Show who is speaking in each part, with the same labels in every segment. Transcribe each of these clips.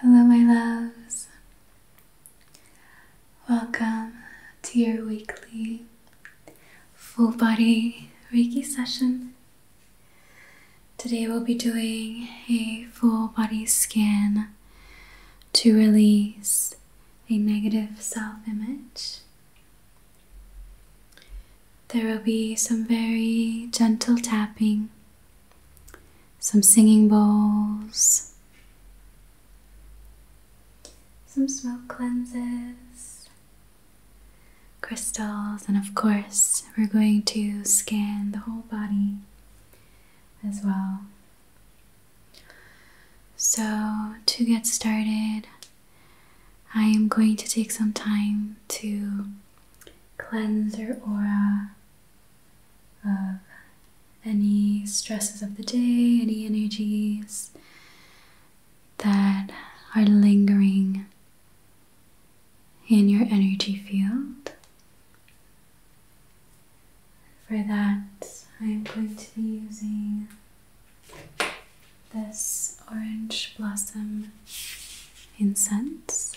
Speaker 1: Hello, my loves. Welcome to your weekly full body Reiki session. Today, we'll be doing a full body scan to release a negative self image. There will be some very gentle tapping some singing bowls, some smoke cleanses, crystals, and of course, we're going to scan the whole body as well. So, to get started, I am going to take some time to cleanse your aura of any stresses of the day, any energies that are lingering in your energy field. For that, I am going to be using this orange blossom incense.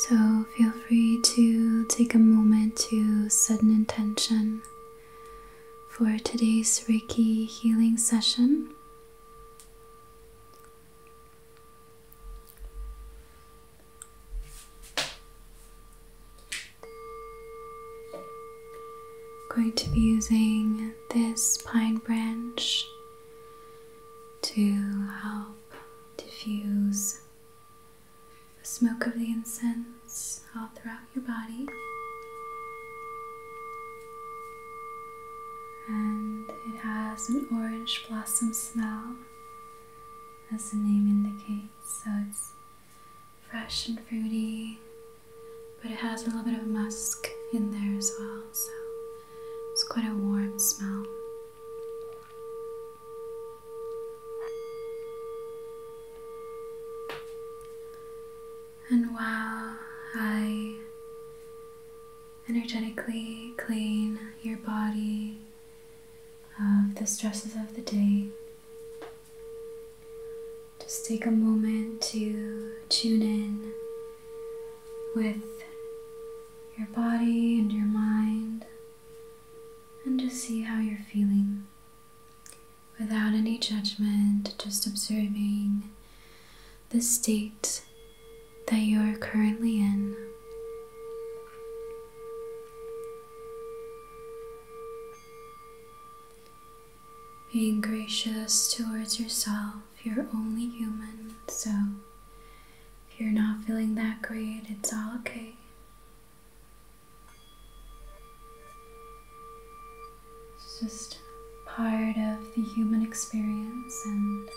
Speaker 1: So feel free to take a moment to set an intention for today's Reiki healing session. going to be using this pine branch to help diffuse the smoke of the incense all throughout your body. And it has an orange blossom smell, as the name indicates, so it's fresh and fruity, but it has a little bit of musk in there as well, so it's quite a warm smell. And while I energetically clean your body of the stresses of the day, just take a moment to tune in with your body and your mind and just see how you're feeling without any judgment, just observing the state that you are currently in. Being gracious towards yourself you're only human, so if you're not feeling that great, it's all okay. It's just part of the human experience, and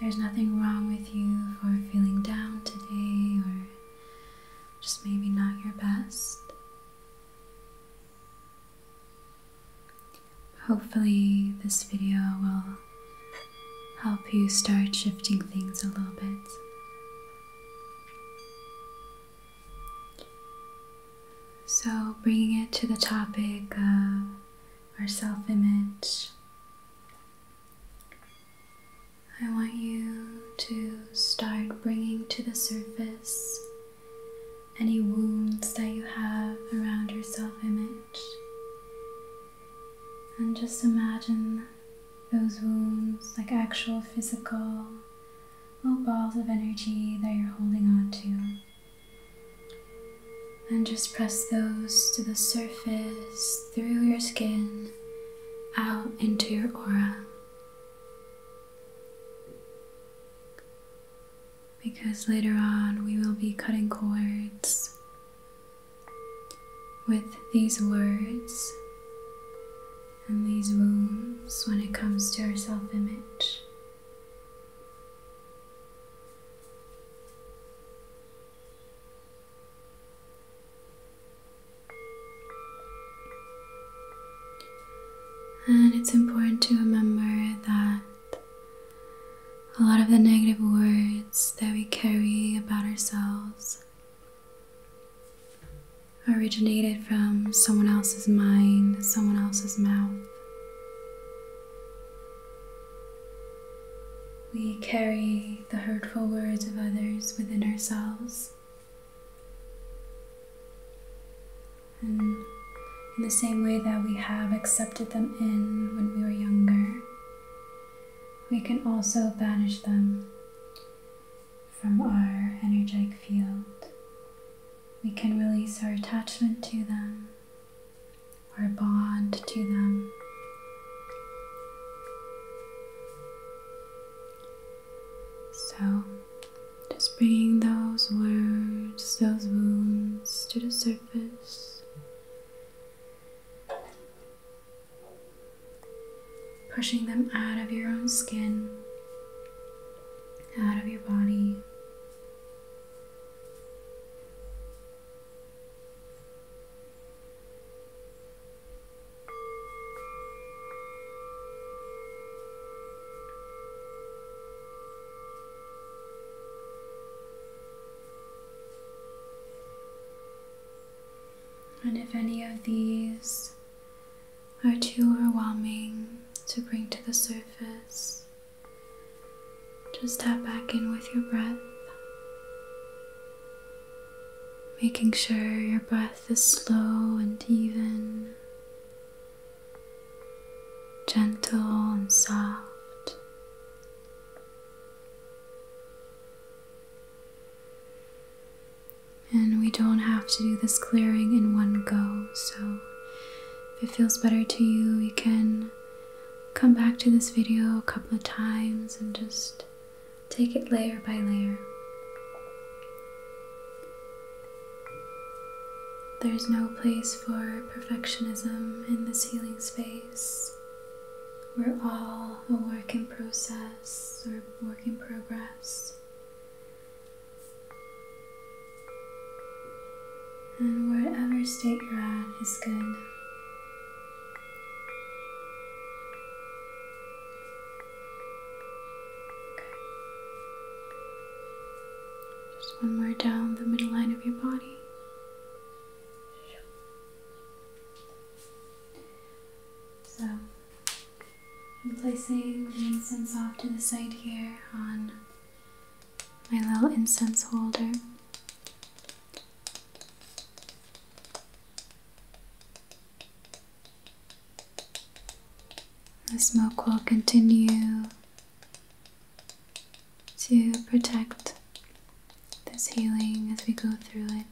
Speaker 1: there's nothing wrong with you for feeling down today or just maybe not your best. Hopefully, this video will help you start shifting things a little bit. So, bringing it to the topic of our self image, I want you to start bringing to the surface any wounds that you have around your self image. And just imagine those wounds like actual physical little balls of energy that you're holding on to. And just press those to the surface through your skin out into your aura because later on we will be cutting cords with these words and these wounds when it comes to our self image. And it's important to remember that a lot of the negative words that we carry about ourselves originated from someone else's mind, someone else's mouth. We carry the hurtful words of others within ourselves. And mm. in the same way that we have accepted them in when we were younger, we can also banish them from our energetic field. We can release our attachment to them, our bond to them. So, just bringing those words, those wounds to the surface, pushing them out of your own skin, out of your body. And if any of these are too overwhelming to bring to the surface, just tap back in with your breath, making sure your breath is slow and even gentle and soft. And we don't have to do this clearing in one go, so if it feels better to you, you can come back to this video a couple of times and just take it layer by layer. There is no place for perfectionism in this healing space. We're all a work in process or work in progress. And whatever state you're at is good. Just one more down the middle line of your body. So I'm placing the incense off to the side here on my little incense holder. The smoke will continue to protect this healing as we go through it.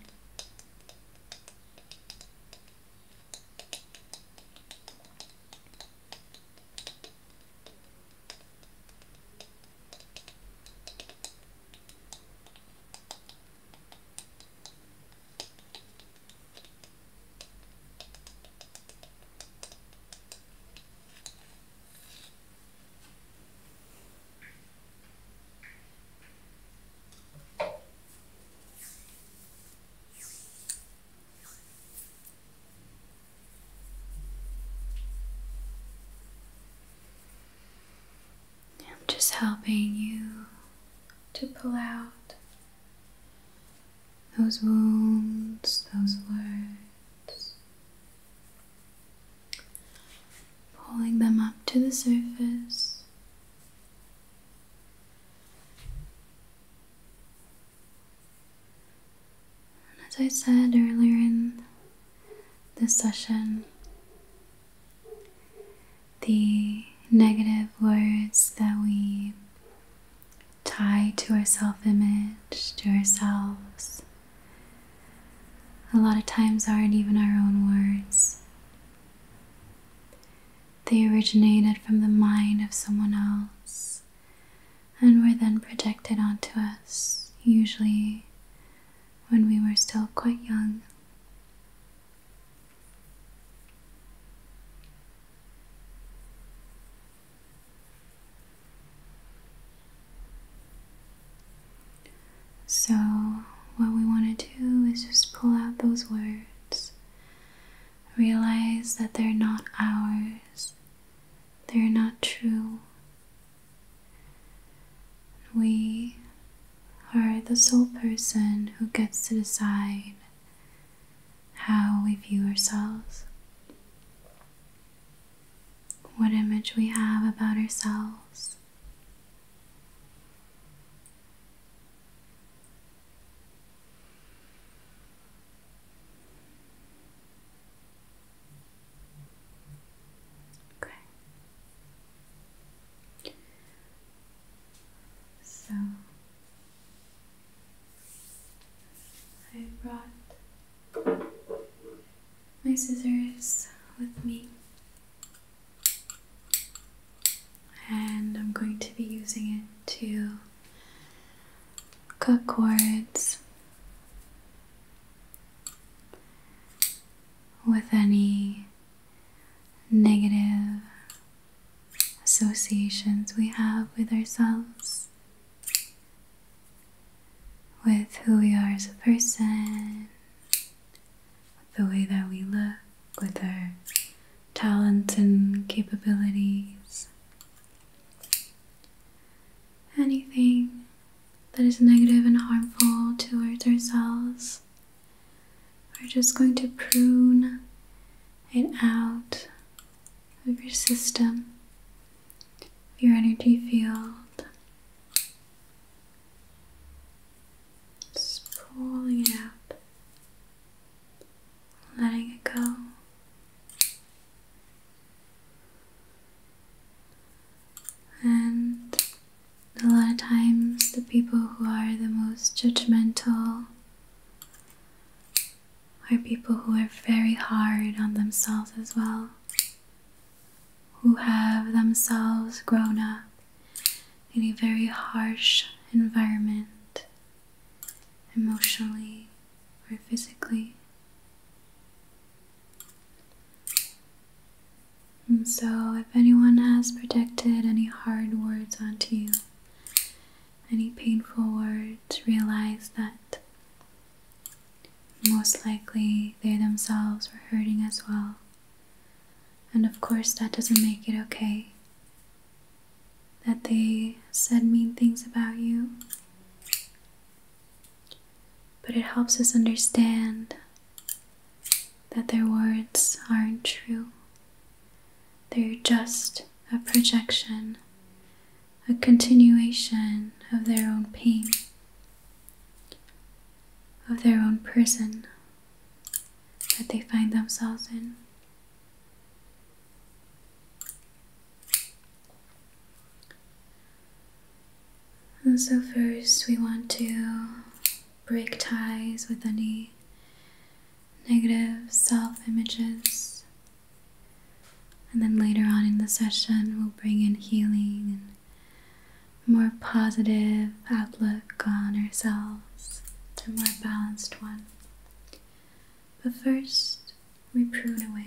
Speaker 1: I'm just helping you to pull out those wounds, those words, pulling them up to the surface. as I said earlier in this session, the negative words that we Tied to our self image, to ourselves. A lot of times aren't even our own words. They originated from the mind of someone else and were then projected onto us, usually when we were still quite young. So, what we want to do is just pull out those words, realize that they're not ours, they're not true. We are the sole person who gets to decide how we view ourselves, what image we have about ourselves. Okay. So I brought my scissors with me, and I'm going to be using it to cut cords with any negative associations we have with ourselves with who we are as a person, with the way that we look, with our talents and capabilities. Anything that is negative and harmful towards ourselves, we're just going to prune it out of your system, your energy field. Just pulling it up, letting it go. And a lot of times, the people who are the most judgmental are people who are very hard on themselves as well, who have themselves grown up in a very harsh environment, emotionally or physically. And so, if anyone has projected any hard words onto you, any painful words, realize that most likely they themselves were hurting as well. And of course, that doesn't make it okay. That they said mean things about you. But it helps us understand that their words aren't true they're just a projection, a continuation of their own pain, of their own prison that they find themselves in. And so, first, we want to break ties with any negative self images. And then later on in the session, we'll bring in healing and more positive outlook on ourselves, a more balanced one. But first, we prune away.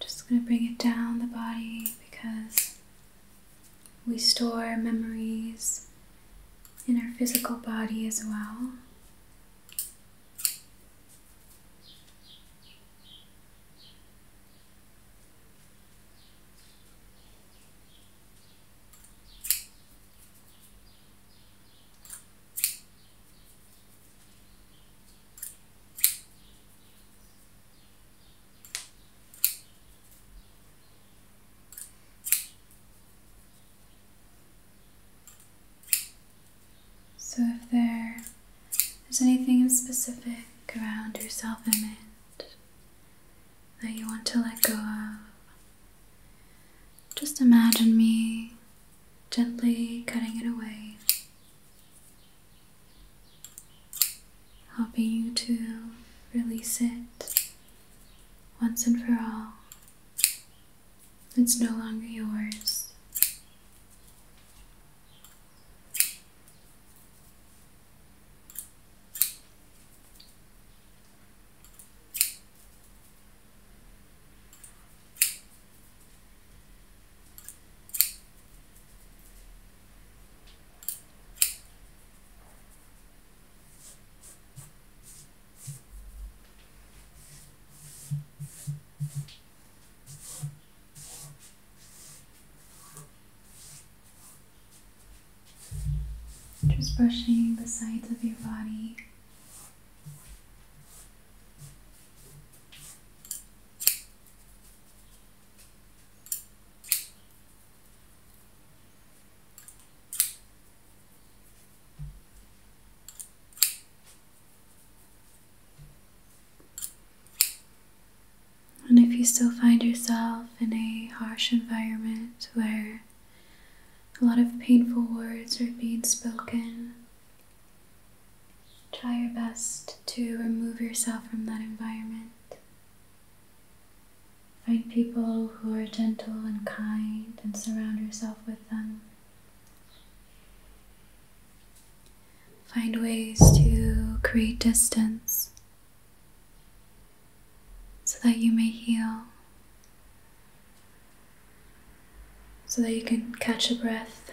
Speaker 1: Just gonna bring it down the body because we store memories in our physical body as well. So, if there is anything specific around yourself in it that you want to let go of, just imagine me gently cutting it away, helping you to release it once and for all. It's no longer yours. Just brushing the sides of your body and if you still find yourself in a harsh environment where a lot of painful words are being spoken. Try your best to remove yourself from that environment. Find people who are gentle and kind and surround yourself with them. Find ways to create distance so that you may heal, so that you can catch a breath.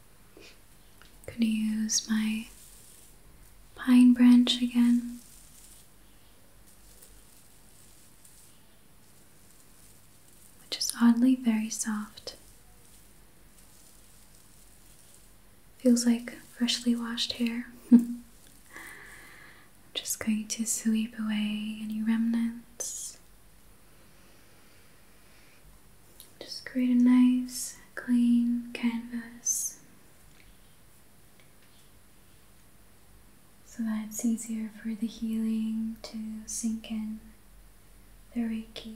Speaker 1: I'm gonna use my pine branch again. Which is oddly very soft. Feels like freshly washed hair. just going to sweep away any remnants. Just create a nice clean canvas so that it's easier for the healing to sink in, the Reiki.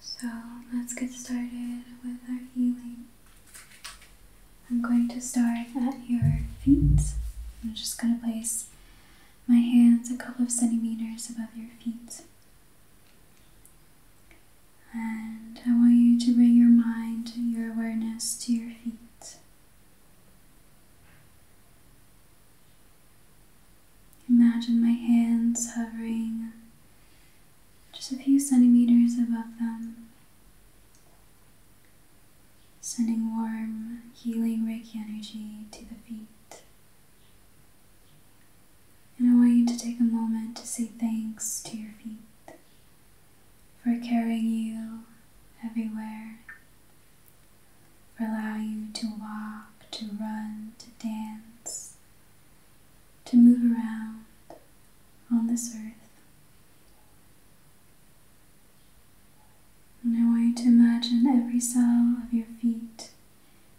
Speaker 1: So let's get started with our healing. I'm going to start at your feet. I'm just going to place my hands a couple of centimeters above your feet. And I want you to bring your mind, your awareness to your feet. Imagine my hands hovering just a few centimeters above them, sending warm, healing Reiki energy to the feet. And I want you to take a moment to say thanks to your feet for carrying you everywhere, for allowing you to walk, to run, to dance, to move around on this earth. And I want you to imagine every cell of your feet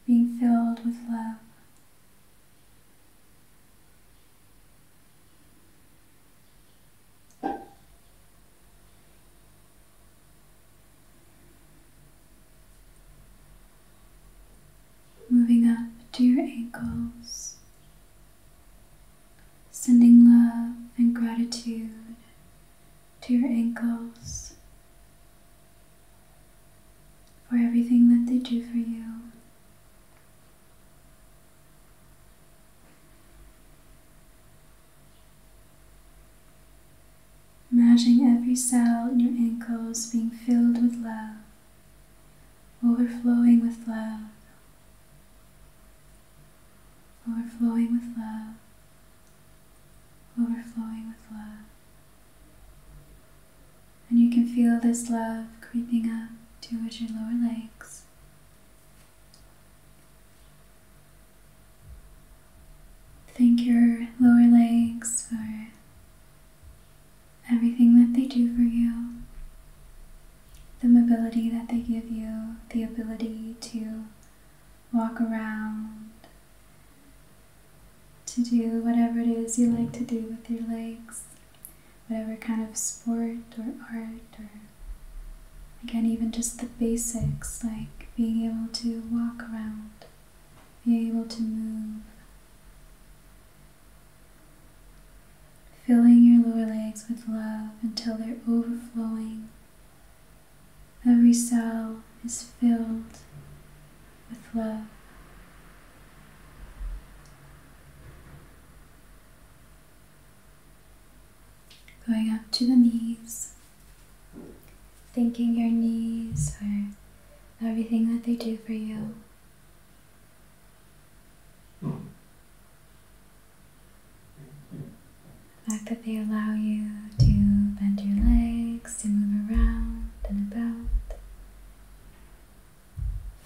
Speaker 1: being filled with love moving up to your ankles, sending love and gratitude to your ankles for everything that they do for you. Imagining every cell in your ankles being filled with love overflowing with love, overflowing with love, overflowing with love. And you can feel this love creeping up towards your lower legs. Thank your lower legs for everything that they do for you, the mobility that they give you, the ability to walk around, to do whatever it is you like to do with your legs, whatever kind of sport or art or again, even just the basics like being able to walk around, being able to move filling your lower legs with love until they're overflowing. Every cell is filled with love. Going up to the knees, thinking your knees are everything that they do for you. The hmm. fact that they allow you to bend your legs, to move around and about,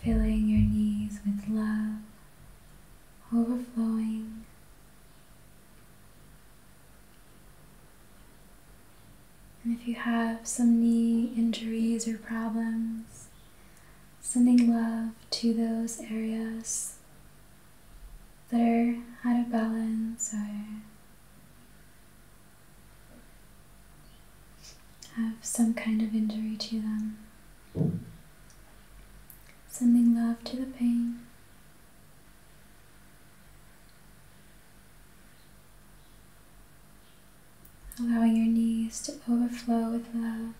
Speaker 1: filling your knees with love, overflowing. And if you have some knee injuries or problems, sending love to those areas that are out of balance or have some kind of injury to them. Sending love to the pain allowing your knees to overflow with love.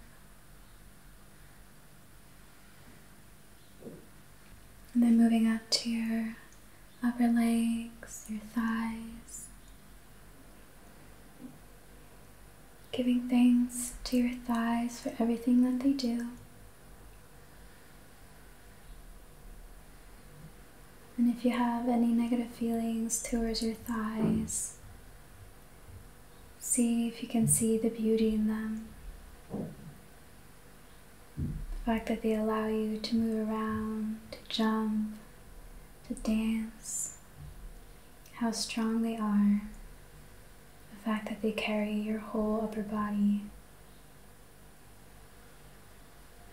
Speaker 1: And then moving up to your upper legs, your thighs, giving thanks to your thighs for everything that they do. And if you have any negative feelings towards your thighs, see if you can see the beauty in them. The fact that they allow you to move around, to jump, to dance, how strong they are. The fact that they carry your whole upper body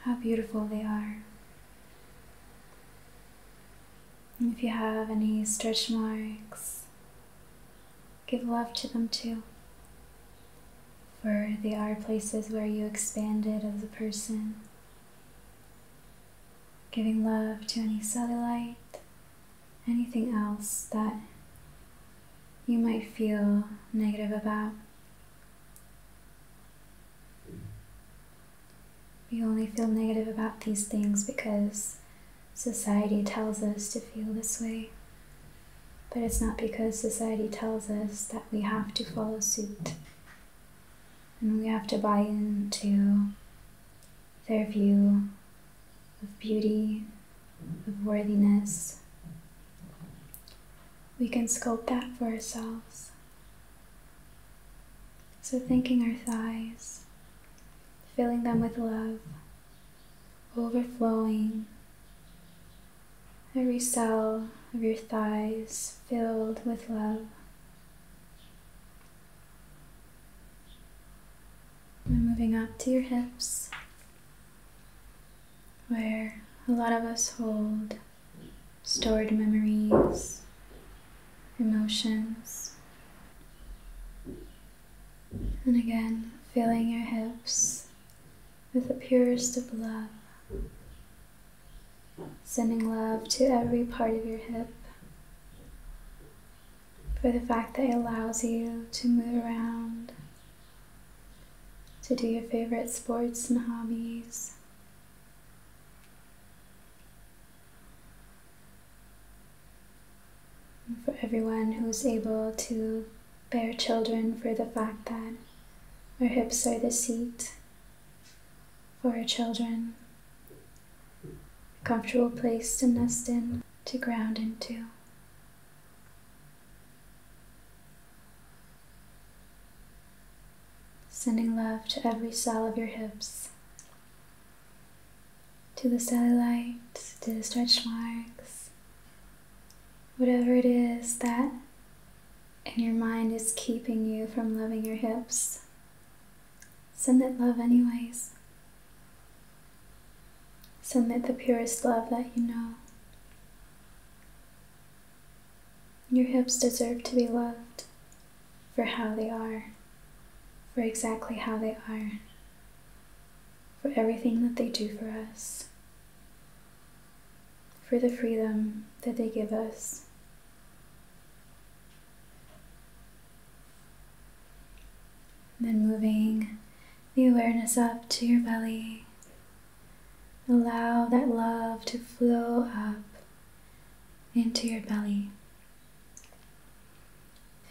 Speaker 1: how beautiful they are. if you have any stretch marks, give love to them too. For they are places where you expanded as a person. Giving love to any cellulite, anything else that you might feel negative about. We only feel negative about these things because society tells us to feel this way. But it's not because society tells us that we have to follow suit and we have to buy into their view of beauty, of worthiness we can sculpt that for ourselves. So, thinking our thighs, filling them with love, overflowing. Every cell of your thighs filled with love. And moving up to your hips, where a lot of us hold stored memories, emotions. And again, filling your hips with the purest of love. Sending love to every part of your hip for the fact that it allows you to move around, to do your favorite sports and hobbies, for everyone who is able to bear children for the fact that our hips are the seat for our children, a comfortable place to nest in, to ground into. Sending love to every cell of your hips, to the cellulite, to the stretch marks, whatever it is that in your mind is keeping you from loving your hips. Send it love, anyways. Send it the purest love that you know. Your hips deserve to be loved for how they are, for exactly how they are, for everything that they do for us, for the freedom that they give us. And then moving the awareness up to your belly Allow that love to flow up into your belly,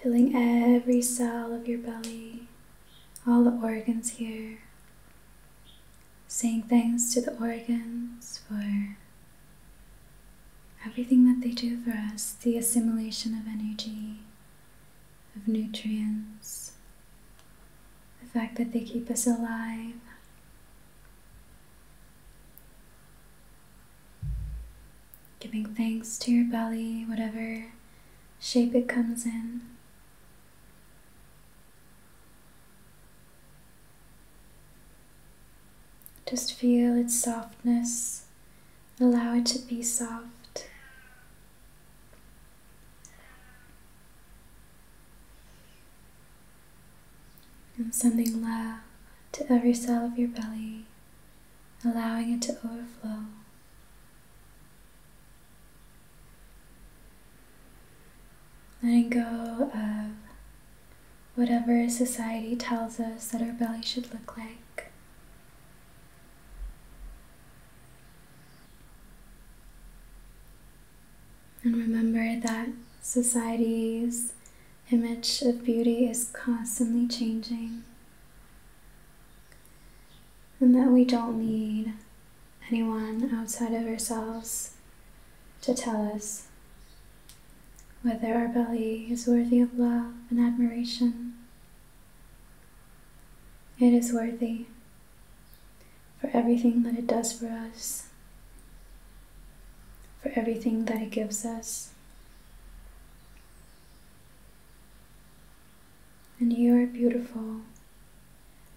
Speaker 1: filling every cell of your belly, all the organs here. Saying thanks to the organs for everything that they do for us the assimilation of energy, of nutrients, the fact that they keep us alive, Giving thanks to your belly, whatever shape it comes in. Just feel its softness, allow it to be soft and sending love to every cell of your belly, allowing it to overflow. Letting go of whatever society tells us that our belly should look like. And remember that society's image of beauty is constantly changing, and that we don't need anyone outside of ourselves to tell us whether our belly is worthy of love and admiration. It is worthy for everything that it does for us, for everything that it gives us. And you are beautiful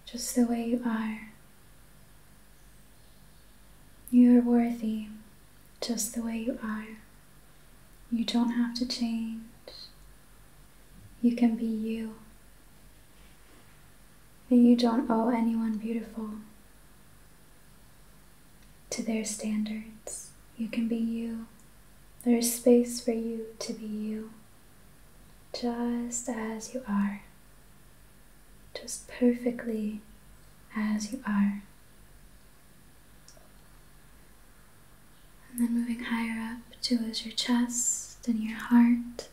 Speaker 1: just the way you are. You are worthy just the way you are. You don't have to change. You can be you that you don't owe anyone beautiful to their standards. You can be you. There is space for you to be you, just as you are, just perfectly as you are. And then moving higher up towards your chest and your heart.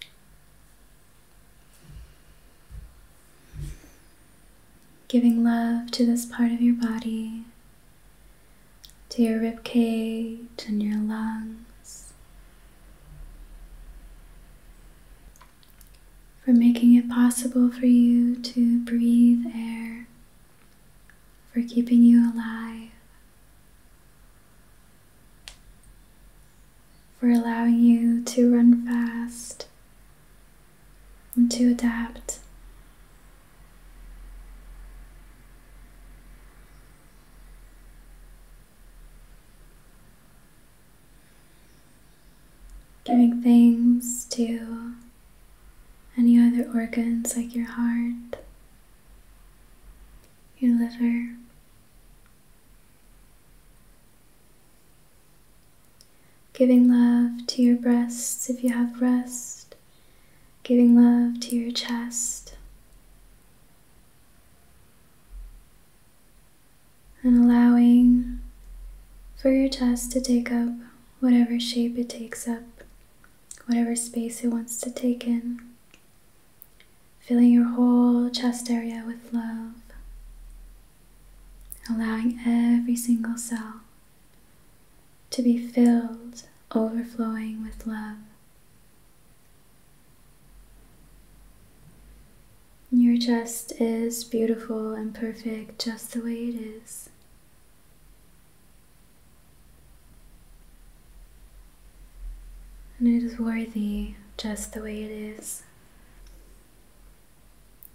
Speaker 1: Giving love to this part of your body, to your ribcage and your lungs, for making it possible for you to breathe air, for keeping you alive for allowing you to run fast and to adapt. Giving things to any other organs like your heart, your liver, Giving love to your breasts if you have breasts, giving love to your chest, and allowing for your chest to take up whatever shape it takes up, whatever space it wants to take in filling your whole chest area with love, allowing every single cell to be filled, overflowing with love. Your chest is beautiful and perfect just the way it is. And it is worthy just the way it is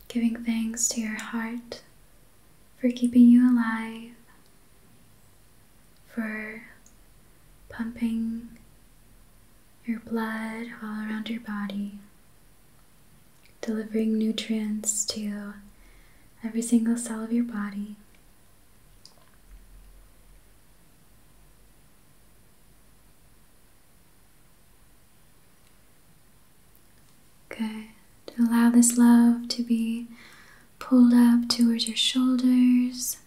Speaker 1: giving thanks to your heart for keeping you alive, for pumping your blood all around your body, delivering nutrients to every single cell of your body. Okay. To Allow this love to be pulled up towards your shoulders,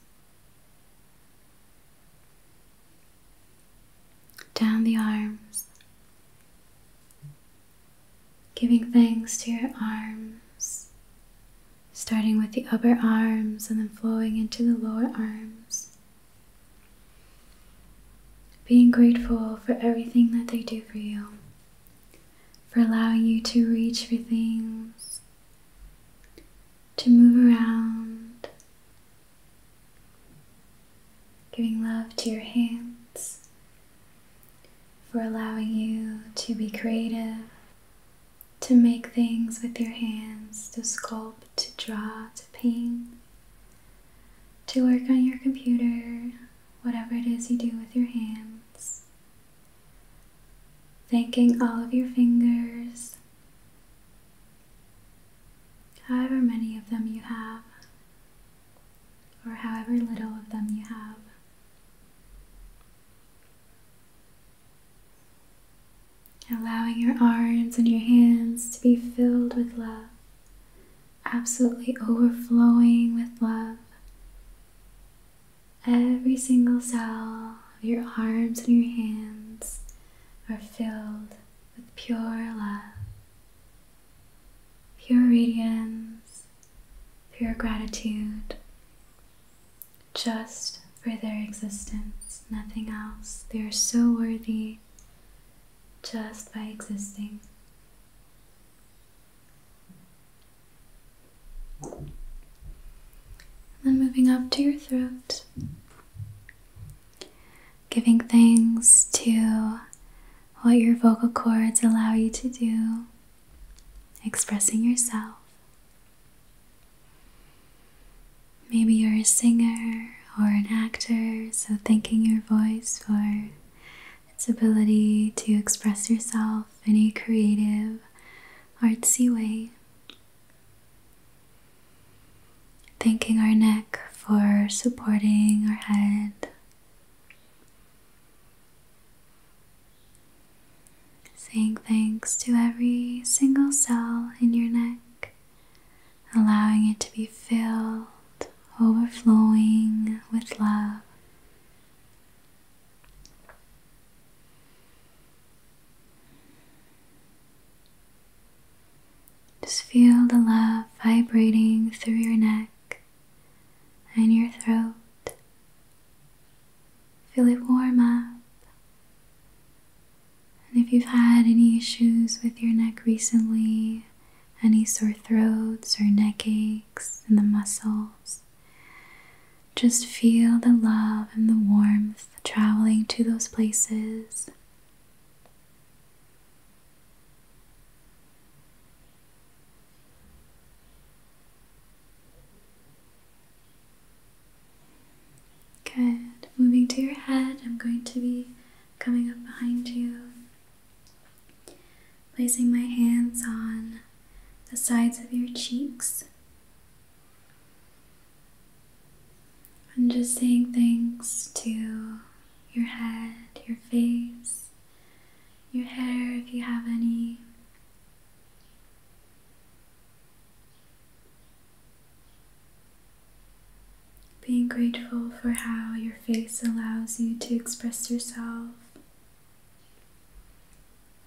Speaker 1: down the arms, giving thanks to your arms, starting with the upper arms and then flowing into the lower arms. Being grateful for everything that they do for you, for allowing you to reach for things, to move around, giving love to your hands, for allowing you to be creative to make things with your hands, to sculpt, to draw, to paint, to work on your computer, whatever it is you do with your hands. Thanking all of your fingers, however many of them you have, or however little of them you have. Allowing your arms and your hands to be filled with love, absolutely overflowing with love. Every single cell of your arms and your hands are filled with pure love, pure radiance, pure gratitude, just for their existence, nothing else. They are so worthy just by existing. And then moving up to your throat, giving thanks to what your vocal cords allow you to do, expressing yourself. Maybe you're a singer or an actor, so thanking your voice for its ability to express yourself in a creative, artsy way. Thanking our neck for supporting our head. Saying thanks to every single cell in your neck allowing it to be filled, overflowing with love. Just feel the love vibrating through your neck and your throat. Feel it warm up and if you've had any issues with your neck recently, any sore throats or neck aches in the muscles, just feel the love and the warmth traveling to those places. Good. Moving to your head, I'm going to be coming up behind you, placing my hands on the sides of your cheeks. I'm just saying thanks to your head, your face, your hair if you have any. Being grateful for how your face allows you to express yourself.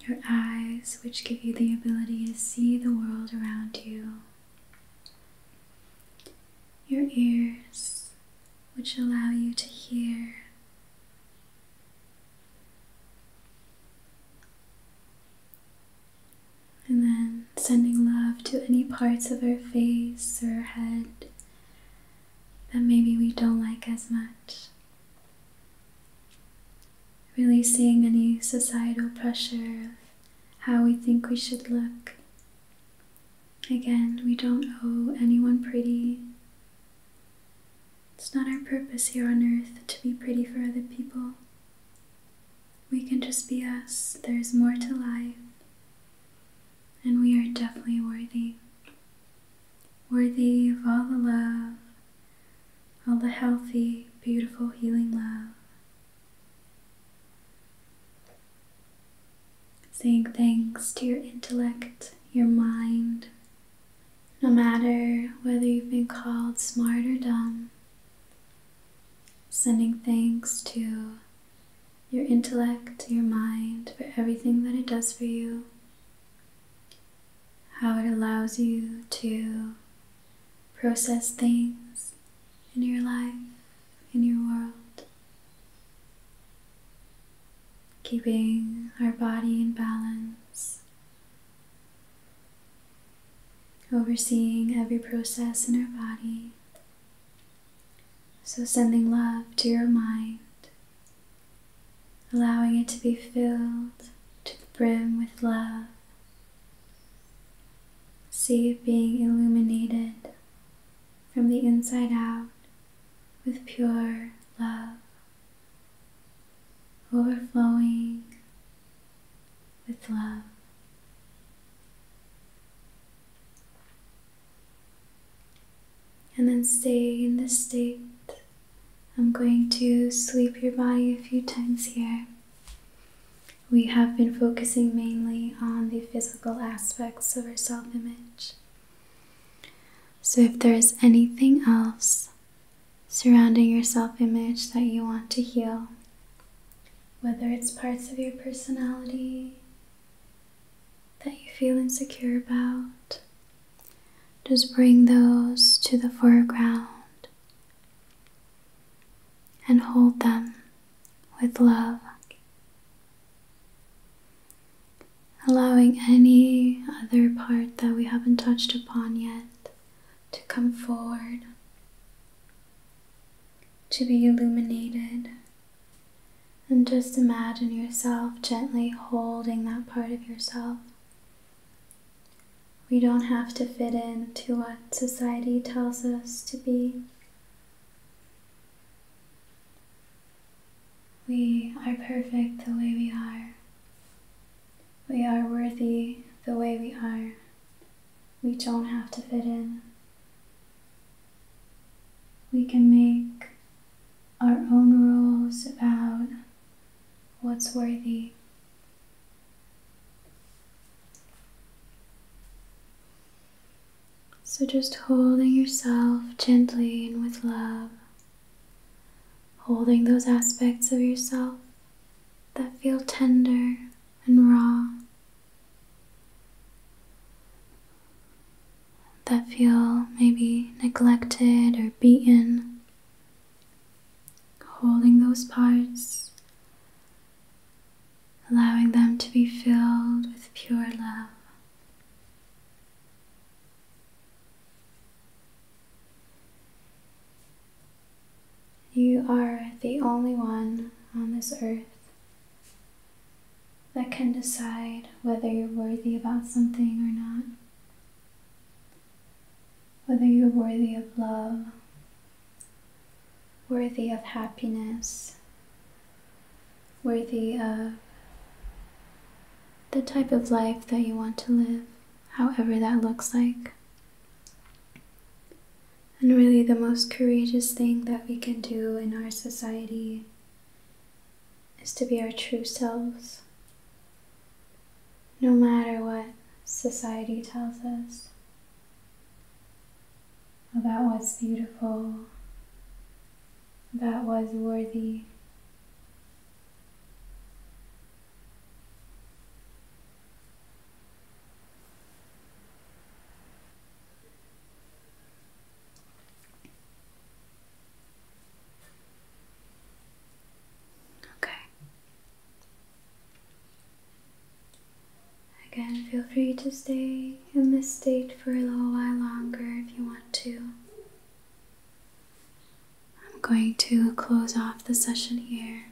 Speaker 1: Your eyes, which give you the ability to see the world around you. Your ears, which allow you to hear. And then sending love to any parts of our face or head that maybe we don't like as much. Releasing any societal pressure of how we think we should look. Again, we don't owe anyone pretty. It's not our purpose here on earth to be pretty for other people. We can just be us. There's more to life. And we are definitely worthy. Worthy of all the love, all the healthy, beautiful, healing love. Saying thanks to your intellect, your mind, no matter whether you've been called smart or dumb. Sending thanks to your intellect, your mind, for everything that it does for you, how it allows you to process things in your life, in your world. Keeping our body in balance, overseeing every process in our body. So, sending love to your mind, allowing it to be filled to the brim with love. See it being illuminated from the inside out with pure love, overflowing with love. And then stay in this state. I'm going to sweep your body a few times here. We have been focusing mainly on the physical aspects of our self image. So, if there is anything else surrounding your self image that you want to heal, whether it's parts of your personality that you feel insecure about. Just bring those to the foreground and hold them with love, allowing any other part that we haven't touched upon yet to come forward, to be illuminated. And just imagine yourself gently holding that part of yourself. We don't have to fit in to what society tells us to be. We are perfect the way we are. We are worthy the way we are. We don't have to fit in. We can make our own rules about what's worthy. So just holding yourself gently and with love, holding those aspects of yourself that feel tender and raw, that feel maybe neglected or beaten. Holding those parts, allowing them to be filled with pure love. You are the only one on this earth that can decide whether you're worthy about something or not, whether you're worthy of love, worthy of happiness, worthy of the type of life that you want to live, however that looks like. And really, the most courageous thing that we can do in our society is to be our true selves, no matter what society tells us about what's beautiful, that was worthy. Okay. Again, feel free to stay in this state for a little while longer if you want to. I'm going to close off the session here.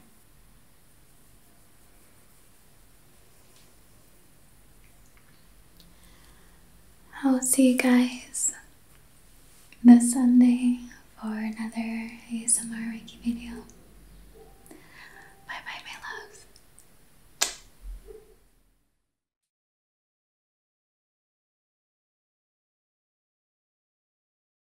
Speaker 1: I'll see you guys this Sunday for another ASMR Reiki video. Bye bye, my loves.